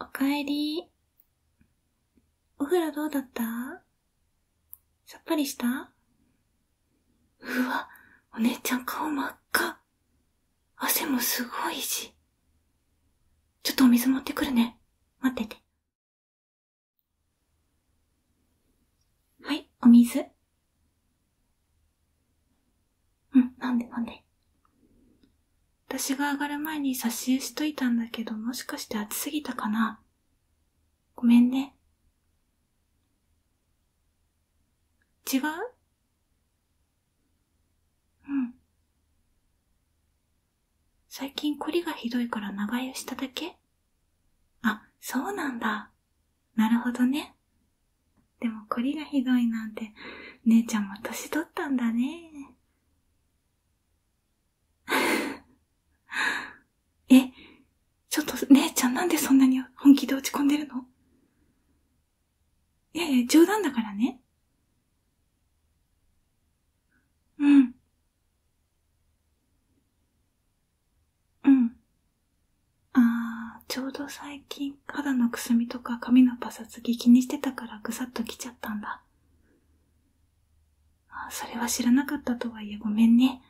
おかえり。お風呂どうだったさっぱりしたうわ、お姉ちゃん顔真っ赤。汗もすごいし。ちょっとお水持ってくるね。待ってて。はい、お水。うん、なんでなんで。私が上がる前に差し湯しといたんだけど、もしかして暑すぎたかなごめんね。違ううん。最近凝りがひどいから長湯しただけあ、そうなんだ。なるほどね。でも凝りがひどいなんて姉ちゃんも年取ったんだね えちょっと姉ちゃんなんでそんなに本気で落ち込んでるのいやいや冗談だからねうんうんあーちょうど最近肌のくすみとか髪のパサつき気にしてたからぐさっときちゃったんだあそれは知らなかったとはいえごめんね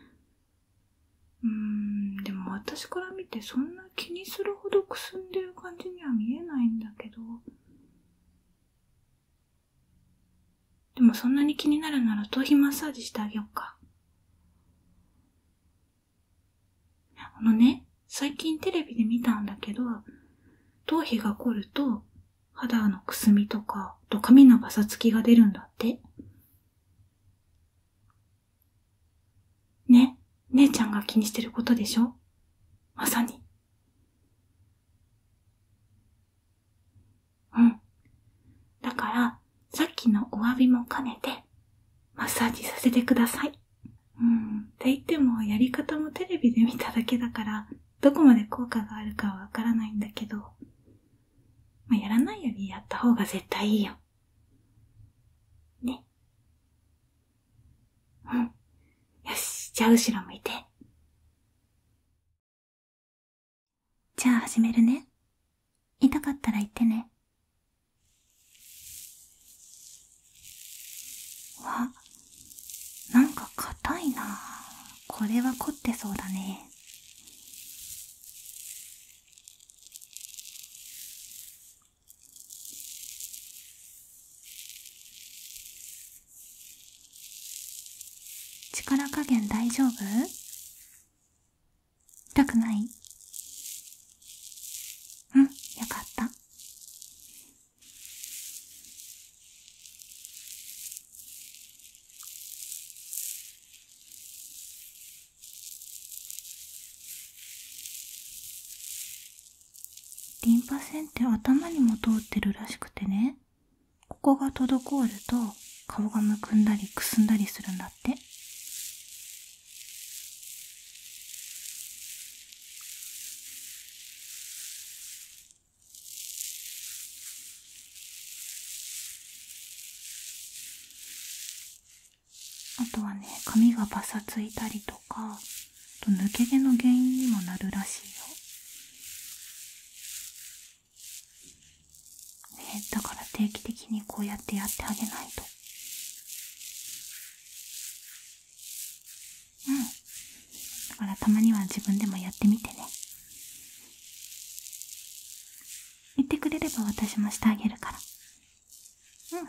うんでも私から見てそんな気にするほどくすんでる感じには見えないんだけどでもそんなに気になるなら頭皮マッサージしてあげようかあのね、最近テレビで見たんだけど、頭皮が凝ると肌のくすみとか、と髪のバサつきが出るんだって。ね、姉ちゃんが気にしてることでしょまさに。うん。だから、さっきのお詫びも兼ねて、マッサージさせてください。うん。って言っても、やり方もテレビで見ただけだから、どこまで効果があるかはわからないんだけど、まあ、やらないよりやった方が絶対いいよ。ね。うん。よし、じゃあ後ろ向いて。じゃあ始めるね。痛かったら言ってね。わなんか硬いなこれは凝ってそうだね力加減大丈夫痛くないうん、よかった。リンパ腺って頭にも通ってるらしくてねここが滞ると顔がむくんだりくすんだりするんだってあとはね髪がパサついたりとか抜け毛の原因にもなるらしいよ。だから定期的にこうやってやってあげないと。うんだからたまには自分でもやってみてね言ってくれれば私もしてあげるからうん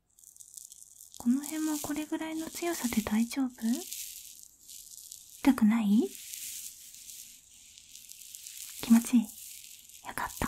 この辺もこれぐらいの強さで大丈夫痛くない気持ちいいよかった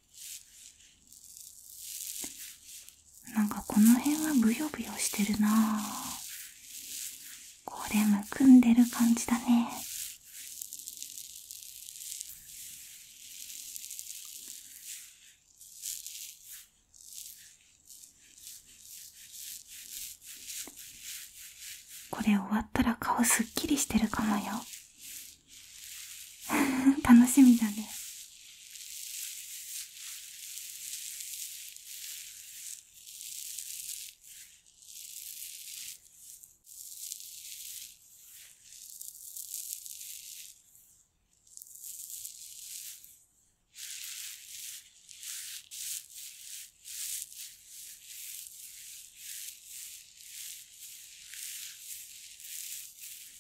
なんかこの辺はブヨブヨしてるなこれむくんでる感じだねこれ終わったら顔すっきりしてるかもよ 楽しみだね。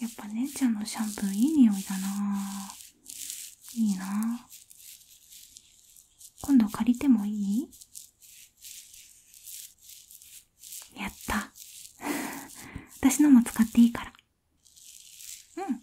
やっぱ姉ちゃんのシャンプーいい匂いだないいな今度借りてもいいやった 私のも使っていいからうん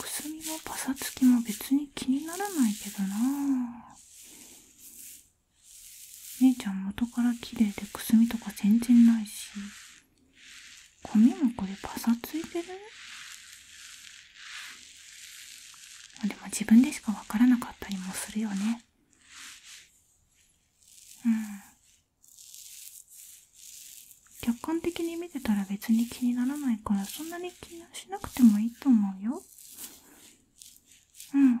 くすみのパサつきも別に気にならないけどな姉ちゃん元から綺麗でくすみとか全然ないし髪もこれパサついてるでも自分でしか分からなかったりもするよねうん客観的に見てたら別に気にならないからそんなに気にしなくてもいいと思うようん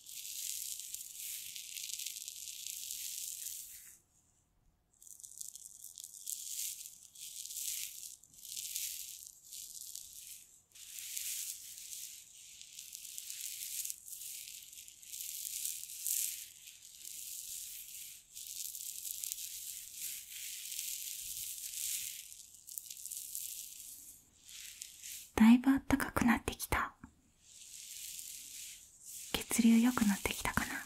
だいぶあったかくなってきた血流良くなってきたかな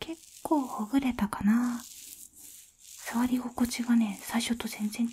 結構ほぐれたかな触り心地がね最初と全然違う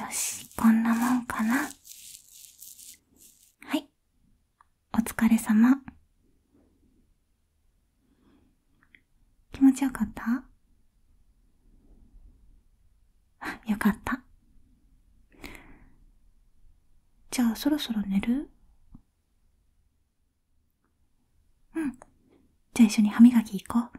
よし、こんなもんかな。はい。お疲れ様。気持ちよかったよかった。じゃあそろそろ寝るうん。じゃあ一緒に歯磨き行こう。